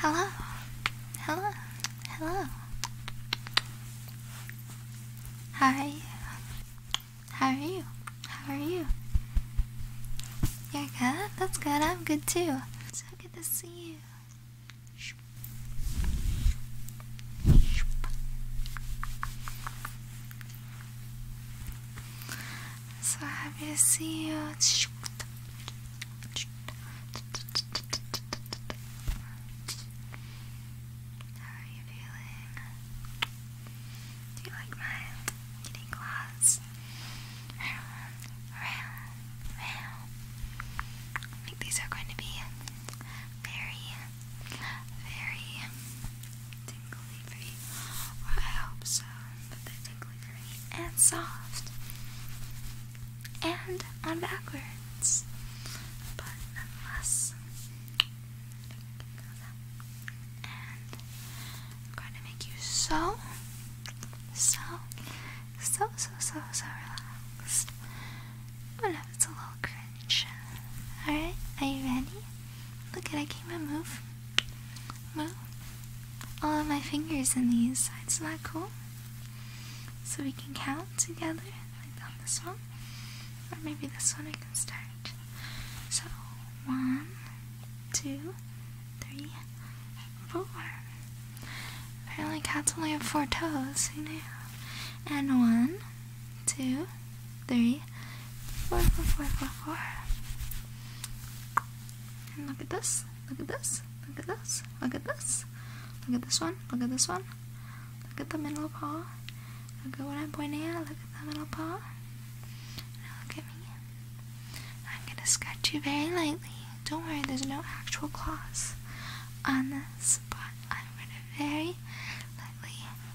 Hello, hello, hello. How are you? How are you? How are you? You're good? That's good. I'm good too. So good to see you. So happy to see you. How are you feeling? Do you like my kitty claws? Round, round, round. I think these are going to be very, very tingly I hope so, but they're tingly for me. And soft. And on backwards. But nonetheless, and I'm going to make you so, so, so, so, so, so relaxed. But it's a little cringe. Alright, are you ready? Look at I can't move. Well, all of my fingers in these. Isn't that cool? So we can count together on this one. Or maybe this one I can start. So one, two, three, four. Apparently cats only have four toes, you know. And one, two, three, four, four, four, four, four. look at this, look at this, look at this, look at this, look at this one, look at this one, look at the middle paw, look at what I'm pointing at, look at the middle paw, look at me. I'm gonna scratch you very lightly. Don't worry, there's no actual claws on this, spot. I'm gonna very lightly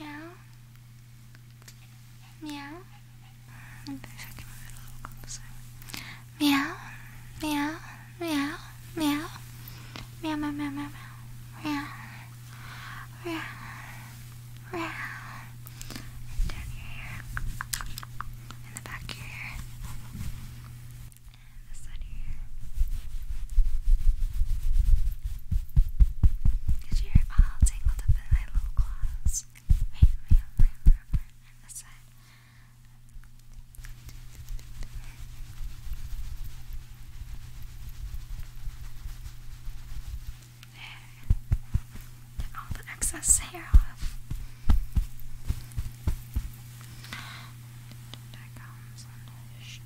Meow. Meow. Maybe if I can move it a little on the side. Meow. Meow. Meow. Meow. Meow meow meow meow meow. Meow. Meow. Meow. And down your hair. In the back of your hair. And this side of your hair. Cause you're all tangled up in my little claws. Get all the excess hair off.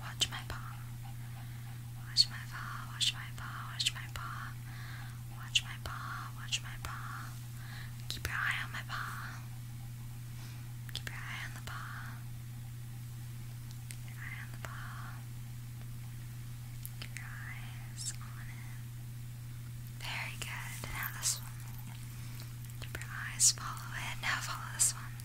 Watch my paw. Watch my paw, watch my paw, watch my paw. Watch my paw, watch my paw. Keep your eye on my paw. Keep your eye on the paw. Keep your eye on the paw. Keep your eyes on it. Very good. Now this one. Keep your eyes, follow it. Now follow this one.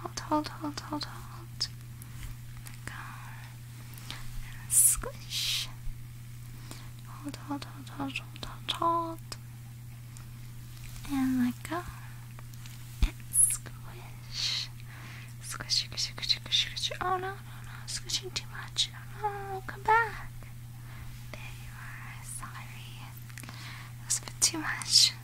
Hold, hold, hold, hold, hold. Let go. And squish. Hold, hold, hold, hold, hold, hold, hold. And let go. And squish. Squish, squish, squish, squish, squish. Oh no, no, no. Squishing too much. Oh no, no, come back. There you are. Sorry. That was a bit too much.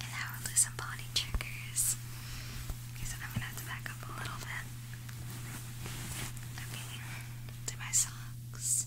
And now we'll do some body triggers. Okay, so I'm gonna have to back up a little bit. Okay, to my socks.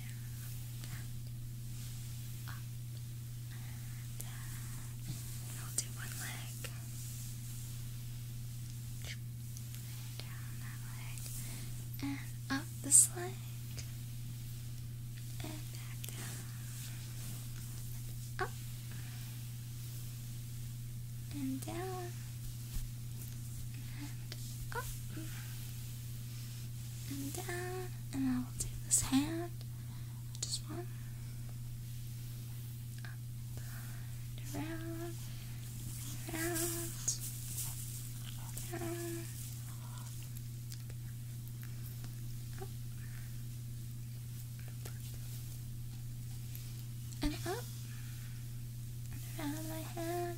and up, and down. I'll do one leg. Down that leg, and up this leg, and back up, and down and up uh, and down, and I will take this hand, just one, up around, around, down, up, and up, around my hand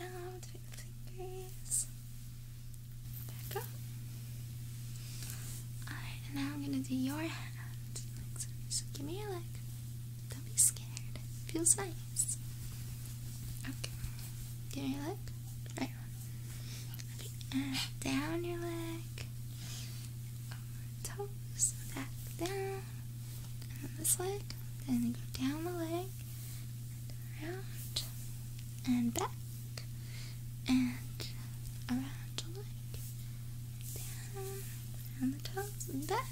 around and down fingers. Back up. Alright, and now I'm gonna do your hand. so. give me your leg. Don't be scared. feels nice. Okay. Give me your leg. Right one. Okay, down your leg. toes. Back down here, and this leg, then go down the leg, and around, and back, and around the leg, down, around the toes, and back,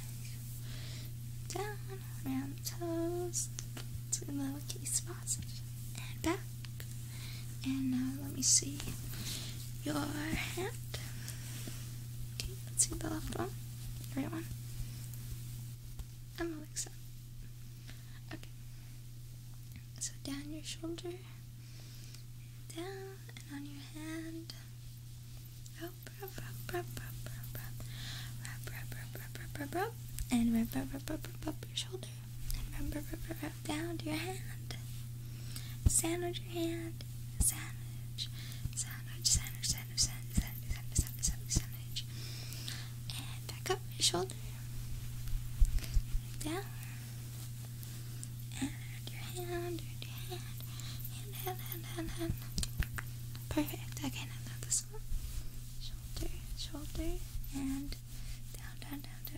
down, around the toes, to the lowercase sausage, and back. And now let me see your hand. Okay, let's see the left one, the right one. I'm Alexa. Okay. So down your shoulder, down and on your hand. Up, rub, rub, rub, rub, rub, rub, rub, rub, rub, rub, rub, rub, and rub, rub, rub, rub, rub, your shoulder, rub, rub, rub, rub, down to your hand. Sand Sandwich your hand sandwich, sandwich, sandwich, sandwich, sandwich, sandwich, sandwich, sandwich, and back up your shoulder, down, and your hand, your hand, hand, hand, hand, hand, Perfect. Okay, now this one, shoulder, shoulder, and down, down, down, down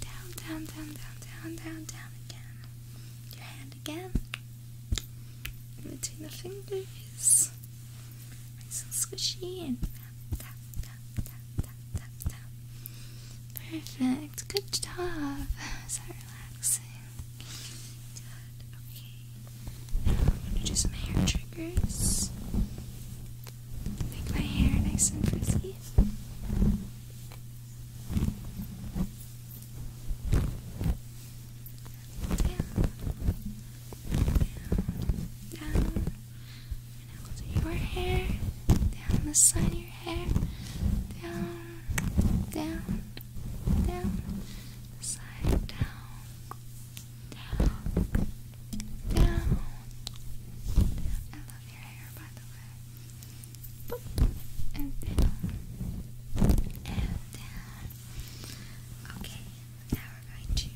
Down, down, down, down, down, down, down again. Your hand again. between the fingers. Nice and squishy and Perfect. Good job. Is that relaxing? Good. Okay. Now I'm gonna do some hair triggers. Make my hair nice and frizzy. Down, down, down. And i your hair, down the side of your hair, down, down, down, side, down, down. I love your hair, by the way. And down. And down. Okay, now we're going to.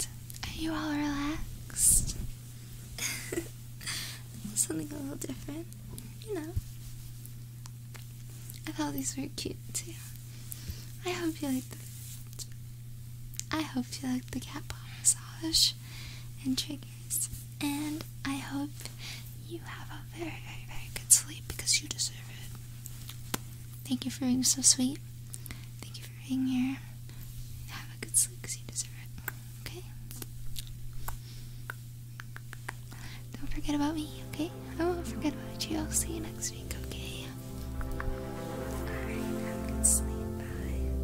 Alright. Are you all relaxed? Something a little different, you know. I thought these were cute too. I hope you liked the. I hope you liked the cat paw massage and triggers, and I hope you have a very, very, very good sleep because you deserve it. Thank you for being so sweet. Thank you for being here. Have a good sleep because you deserve it okay? Don't forget about me, okay? I won't forget about you. I'll see you next week, okay? Alright, have a good sleep. Bye.